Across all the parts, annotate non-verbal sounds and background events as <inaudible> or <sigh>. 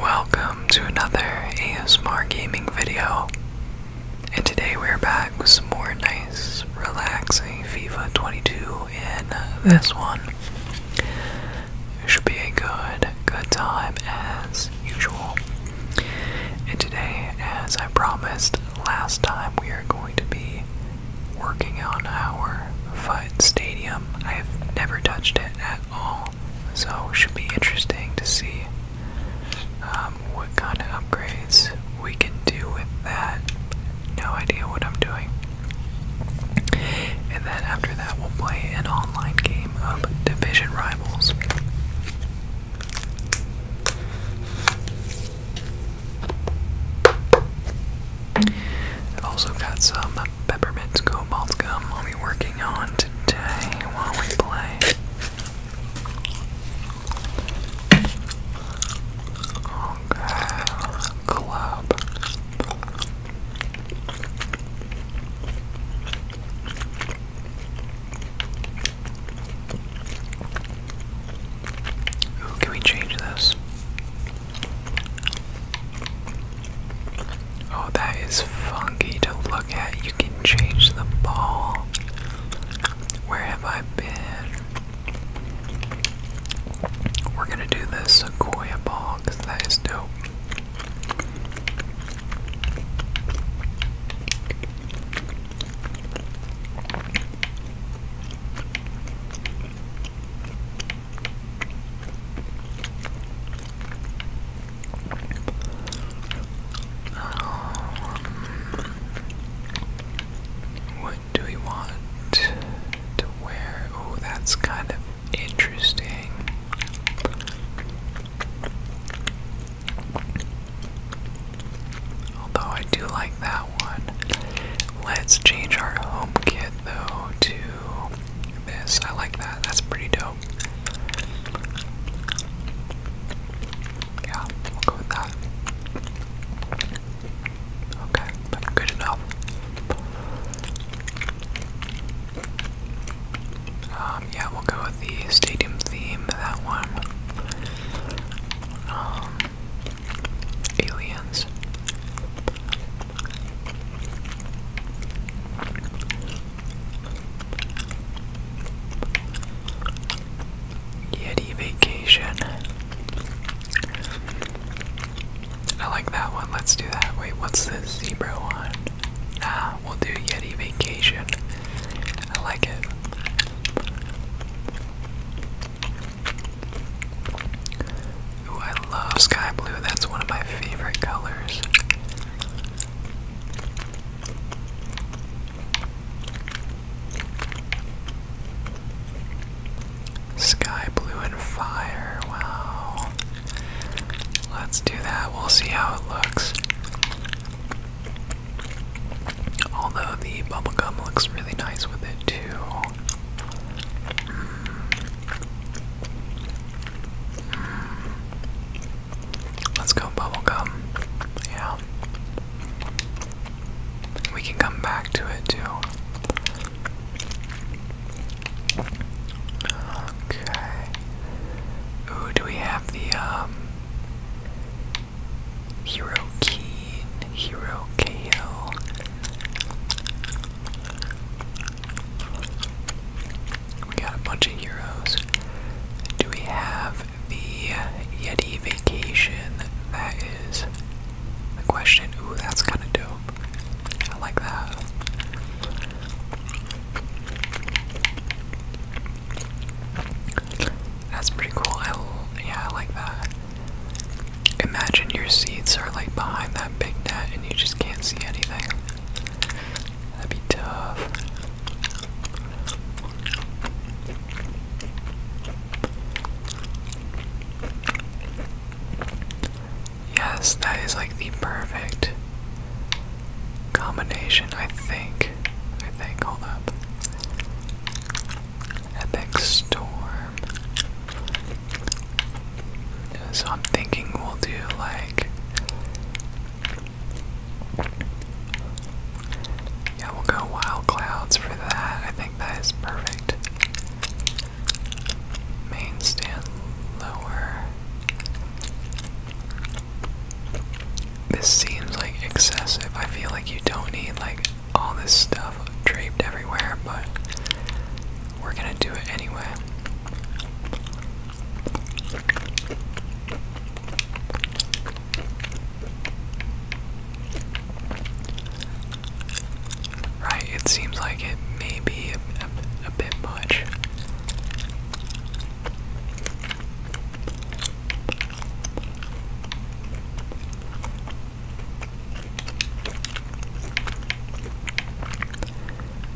Welcome to another ASMR gaming video, and today we're back with some more nice, relaxing FIFA 22 in this one. It should be a good, good time as usual. And today, as I promised last time, we are going to be working on our FUT Stadium. I have never touched it at at all. So, should be interesting to see um, what kind of upgrades we can do with that. No idea what I'm doing. And then after that, we'll play an online game of Division Rivals. I've also got some peppermint cobalt gum I'll be working on today while we play. Okay, club. can we change this? Oh, that is funky to look at. You can change the ball. Where have I been? We're gonna do the Sequoia ball because that is dope. Um, what do we want to wear? Oh, that's kind of interesting. Although I do like that one. Let's change our home kit though to this. I like that. That's pretty dope. Yeah, we'll go with that. Okay, good enough. Um, yeah, we'll go with the stadium theme, that one. Um, aliens. Yeti Vacation. I like that one. Let's do that. Wait, what's this zebra one? Nah, we'll do Yeti Vacation. I like it. I love sky blue. That's one of my favorite colors. Sky blue and fire. Wow. Let's do that. We'll see how it looks. Although the bubblegum looks really nice with it, too. Hmm. Let's go bubblegum. Yeah. We can come back to it too. Okay. Ooh, do we have the um Hero Keen, Hero KO? We got a bunch of heroes. Do we have the Yeti Vacation? That is the question. Ooh, that's kind of dope. I like that. That's pretty cool. yeah, I like that. Imagine your seats are like behind that big net and you just can't see anything. That'd be tough. Yes, that is like the perfect combination, I think. I think, hold up. Epic Storm. So I'm thinking we'll do like. Yeah, we'll go wild clouds for that. I think that is perfect. Main stand lower. This seems like excessive. I feel like you don't need like all this stuff draped everywhere, but we're gonna do it anyway. Right, it seems like it may be a, a bit much.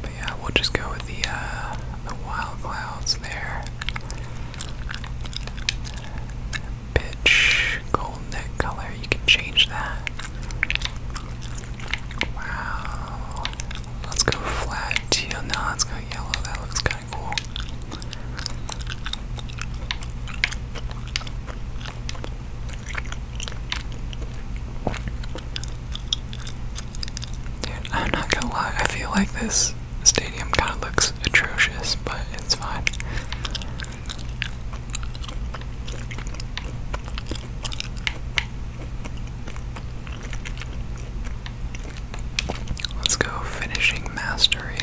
But yeah, we'll just go with the uh, the wild clouds there. Pitch, golden color. You can change that. Wow. Let's go flat teal. No, let's go yellow. That looks kind of cool. Dude, I'm not gonna lie, I feel like this stadium kind of looks atrocious, but it's fine. Let's go finishing mastery.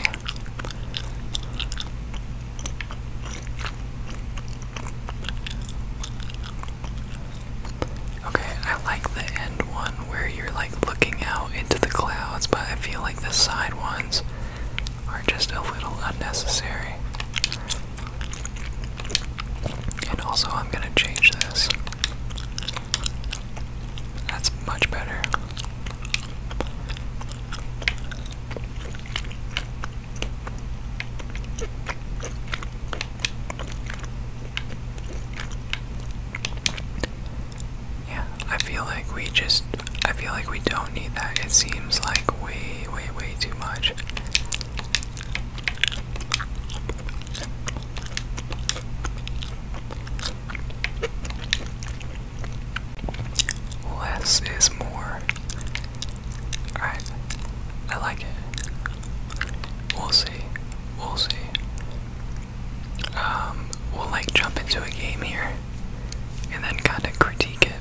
Okay, I like the end one where you're like looking out into the clouds, but I feel like the side ones are just a little unnecessary. And also, I'm gonna change this. That's much better. Yeah, I feel like we just, I feel like we don't need that. It seems like way, way, way too much. Less is more. Alright, I like it. We'll see. We'll see. Um, we'll like jump into a game here and then kind of critique it.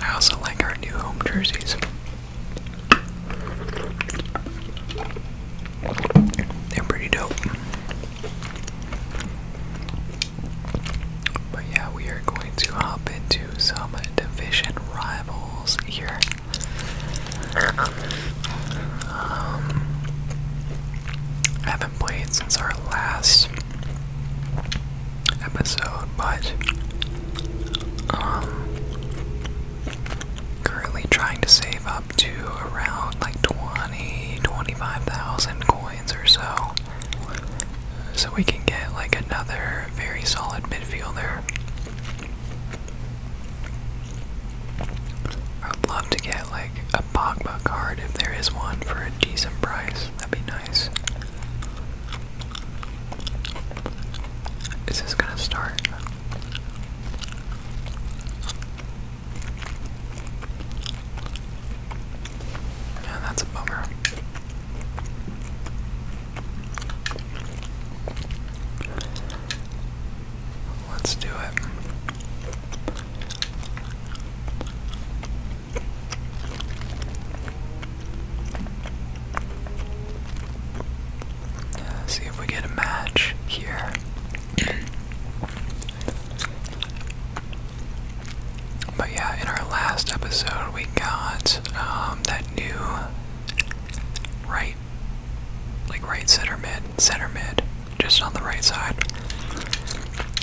I also like our new home jerseys. They're pretty dope. But yeah, we are going to hop into some division rivals here. Um, I haven't played since our last episode, but um, currently trying to save up to around like 20, 25,000 coins or so, so we can get like another very solid midfielder. I'd love to get like a Pogba card if there is one for a decent price. That'd be nice. Is this gonna start? Yeah, that's a bummer. Let's do it. see if we get a match here. But yeah, in our last episode, we got um, that new right right, like right center mid, center mid, just on the right side.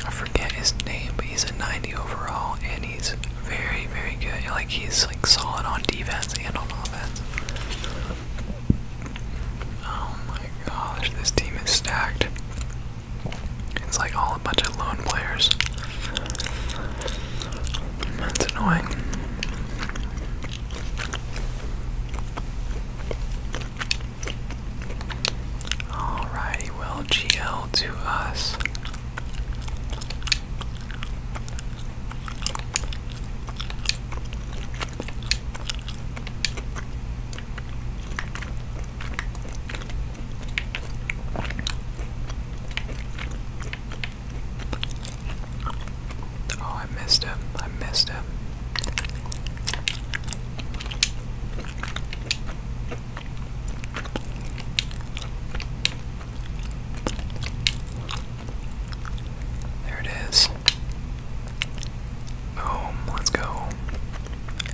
I forget his name, but he's a 90 overall, and he's very, very good. Like he's like solid on defense and on offense. Oh my gosh, this team is stacked. It's like all a bunch of lone players. That's annoying. Alrighty, well, GL to us. Oh, I missed him. I missed him. There it is. Boom, let's go.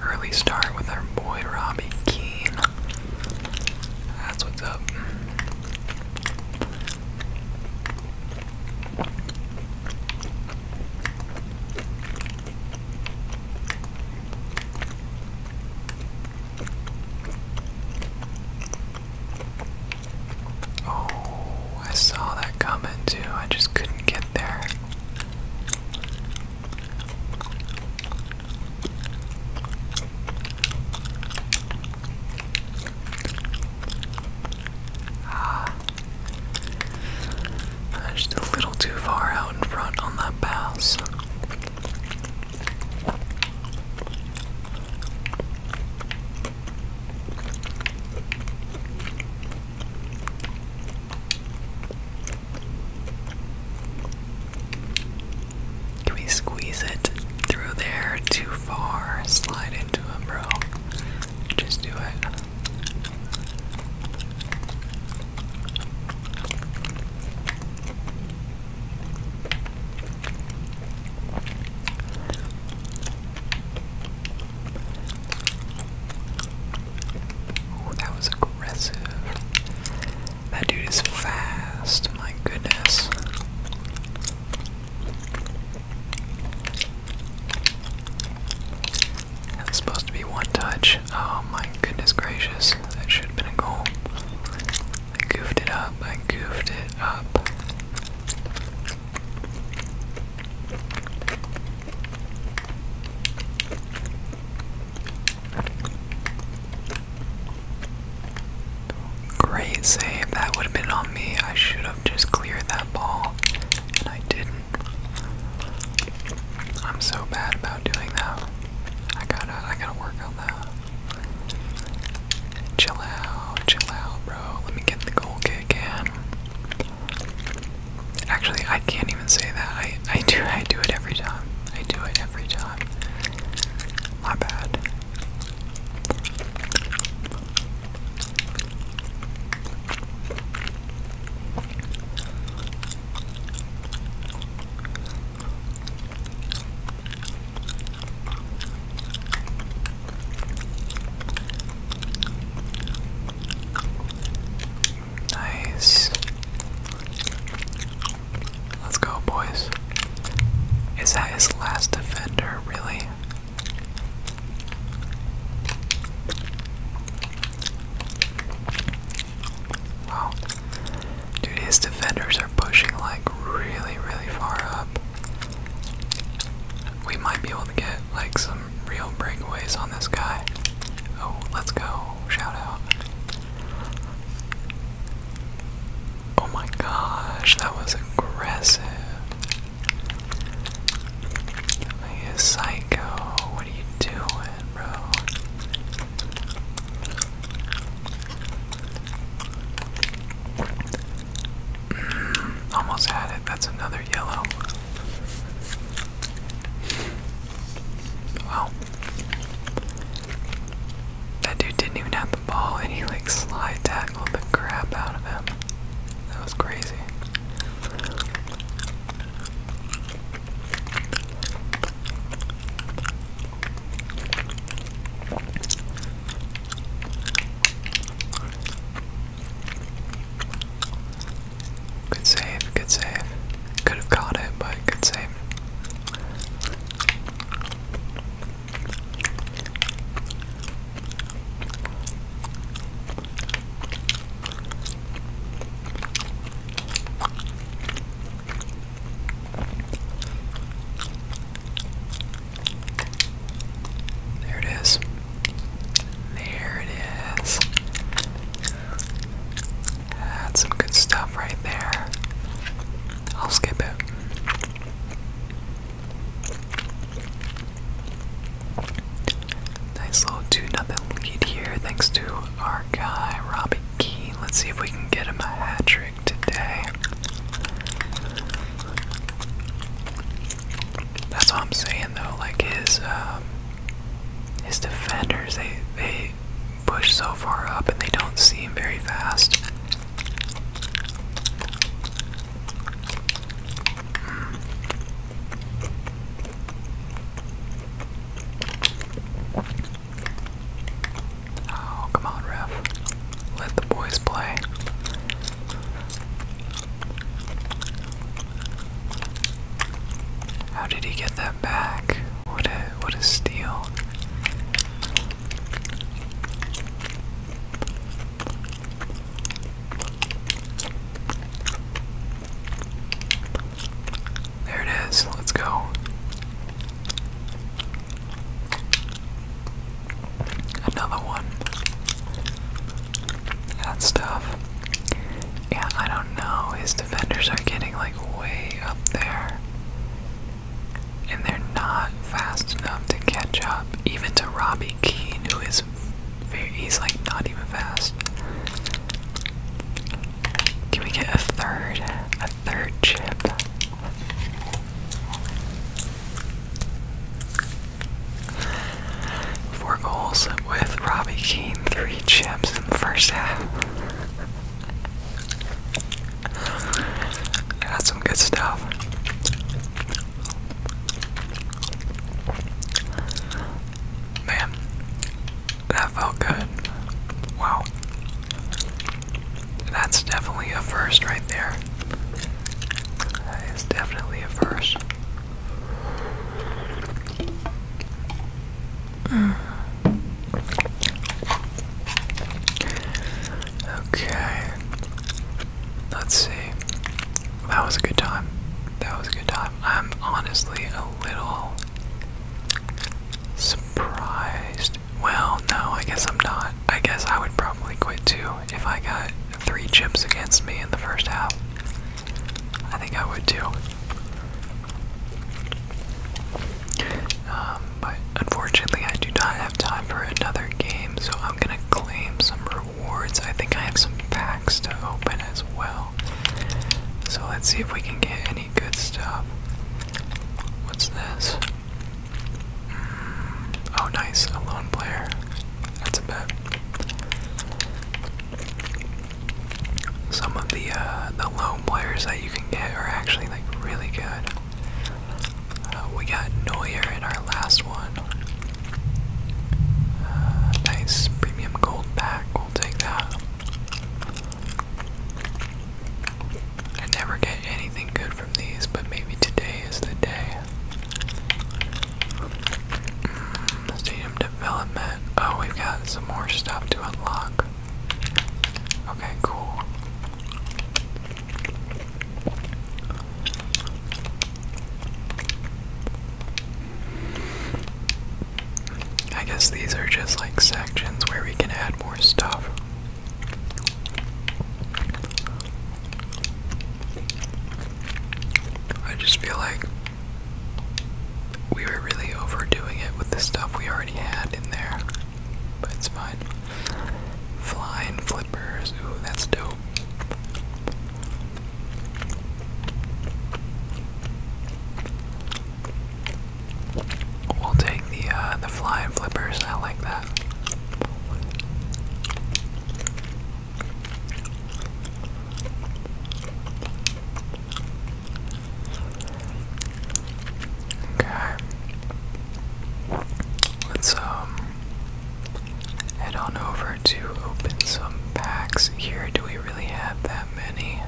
Early start with our boy Robbie Keane. That's what's up. Oh, I saw that coming too. I just couldn't get there. Ah. just a little too far out in front on that pass. Can we squeeze it through there? Too far. Slide into it, uh, bro. Just do it. Ooh, that was aggressive. That dude is fast, my goodness. That supposed to be one touch. Oh my goodness gracious. That should have been a goal. I goofed it up. I goofed it up. Great save. That would have been on me. I should have just cleared that ball, and I didn't. I'm so bad about doing that. I gotta, I gotta work on that. Chill out, chill out, bro. Let me get the goal kick in. Actually, I can't even say that. I, I do, I do it every time. I do it every time. My bad. Nice. Let's go, boys. Is that his last defender, really? Wow. Dude, his defenders are pushing like really, really far up. We might be able to get like some real breakaways on this guy. Oh, let's go. Shout Oh my gosh, that was aggressive. He is psycho. What are you doing, bro? Mm, almost had it. That's another yellow. Wow. That dude didn't even have the ball and he like slide tagged tackled the crap out of him. That was crazy. Good save, good save. Could have caught it, but good save. There it is. There it is. That's some good stuff right there. I'll skip it. Nice little 2 nothing lead here, thanks to our guy, Robbie Keane. Let's see if we can get him a hat trick today. That's all I'm saying though, like his um, his defenders they they push so far up and they don't seem very fast. Oh, come on, ref. Let the boys play. How did he get that back? What a what a steal. There it is. Let's go. Another one. That stuff. Yeah, I don't know. His defenders are getting like way up there. And they're not fast enough to catch up, even to Robbie Keane, who is he's like not even fast. Can we get a third, a third chip? Four goals with Robbie Keane, three chips in the first half. That's some good stuff. Man, that felt good. Wow. That's definitely a first right there. That is definitely a first. Hmm. Okay. Let's see. That was a good time. That was a good time. I'm honestly a little surprised. Well, no, I guess I'm not. I guess I would probably quit too if I got three chips against me in the first half. I think I would too. Um, but unfortunately, I do not have time for another game, so I'm gonna claim some rewards. I think I have some packs to open as well. So let's see if we can get any good stuff. What's this? Mm, oh, nice. A lone player. That's a bit. Some of the uh, the lone players that you can get are actually like really good. Uh, we got Neuer in our last one. Uh, nice premium gold pack, we'll take that. I never get anything good from these, but maybe today is the day. Mm, stadium development. Oh, we've got some more stuff to unlock. Okay, cool. I guess these are just like sections where we can add more stuff. I just feel like we were really overdoing it with the stuff we already had in there. But it's fine. Flying flippers. Ooh, that's dope. We'll take the uh, the flying flippers. I like that. Okay. Let's um Head on over to open some packs here. Do we really have that many?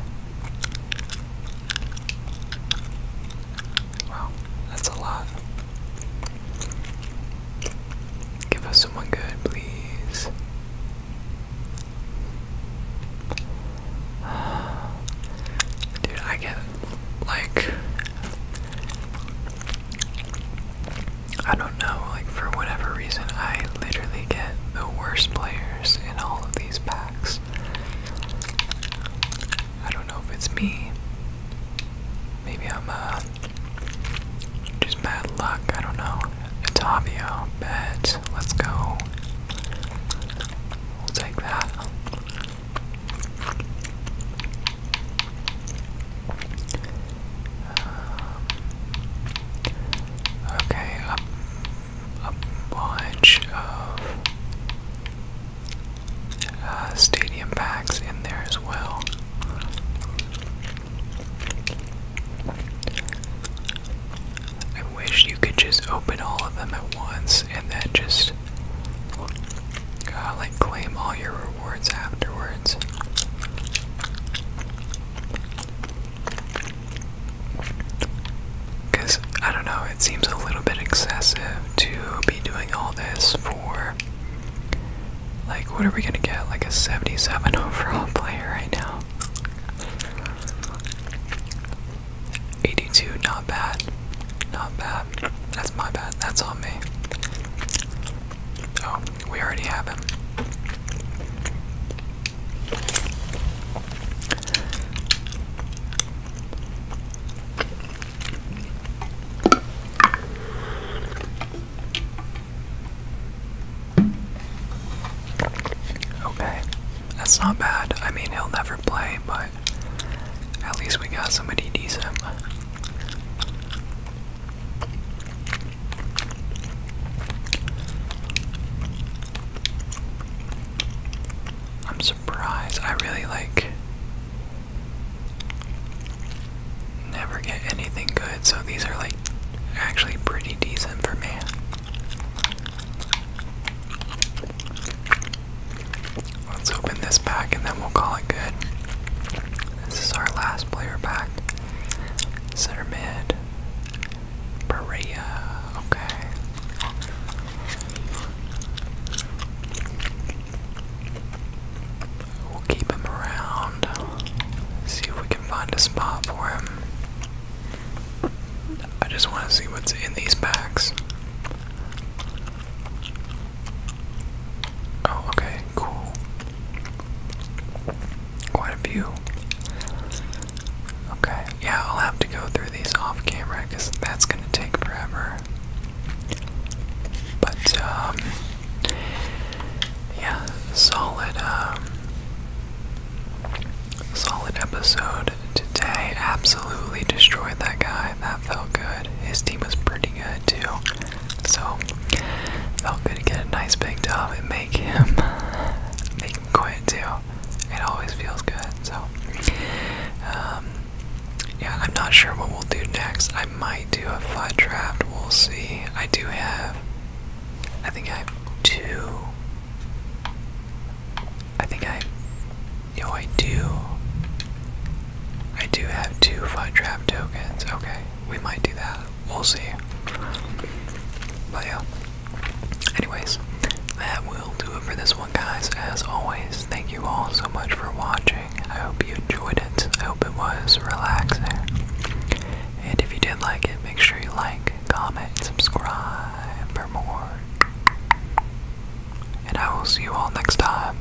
Wow, that's a lot. Give us someone good, please. <sighs> Dude, I get like I don't know, like for whatever reason, I literally get the worst players in all of these packs. I don't know if it's me. Maybe I'm uh, just bad luck. I don't know. It's Avio, bet. Let's go. We'll take that. Um, okay, a, bunch of uh, stadium packs in there as well. I wish you could just open all of them at once and then just uh, like claim all your rewards afterwards. Because, I don't know, it seems a little bit excessive to be doing all this for. Like, what are we gonna get? Like a 77 <laughs> overall player right now? 82, not bad. Not bad. That's my bad. That's on me. Oh, we already have him. Okay, that's not bad. I mean, he'll never play, but at least we got somebody decent. I'm surprised. I really like never get anything good, so these are like actually pretty decent for me. Let's open this pack and then we'll call it good. This is our last player pack. Center mid. Berea. Okay. We'll keep him around. See if we can find a spot for him. I just want to see what's in these packs. Oh, okay, cool. Quite a few. Okay, yeah, I'll have to go through these off camera because that's gonna take forever. But, um, yeah, solid, um, solid episode today. Absolutely destroyed that guy. That felt good. His team was pretty good too. So felt good to get a nice big dub and make him <laughs> make him quit too. It always feels good. So um, yeah, I'm not sure what we'll do next. I might do a flat draft. We'll see. I do have. I think I have two. I think I. You I do. I do have two fun draft tokens. Okay, we might do that we'll see. But yeah. Anyways, that will do it for this one, guys. As always, thank you all so much for watching. I hope you enjoyed it. I hope it was relaxing. And if you did like it, make sure you like, comment, subscribe for more. And I will see you all next time.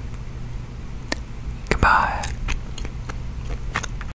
Goodbye.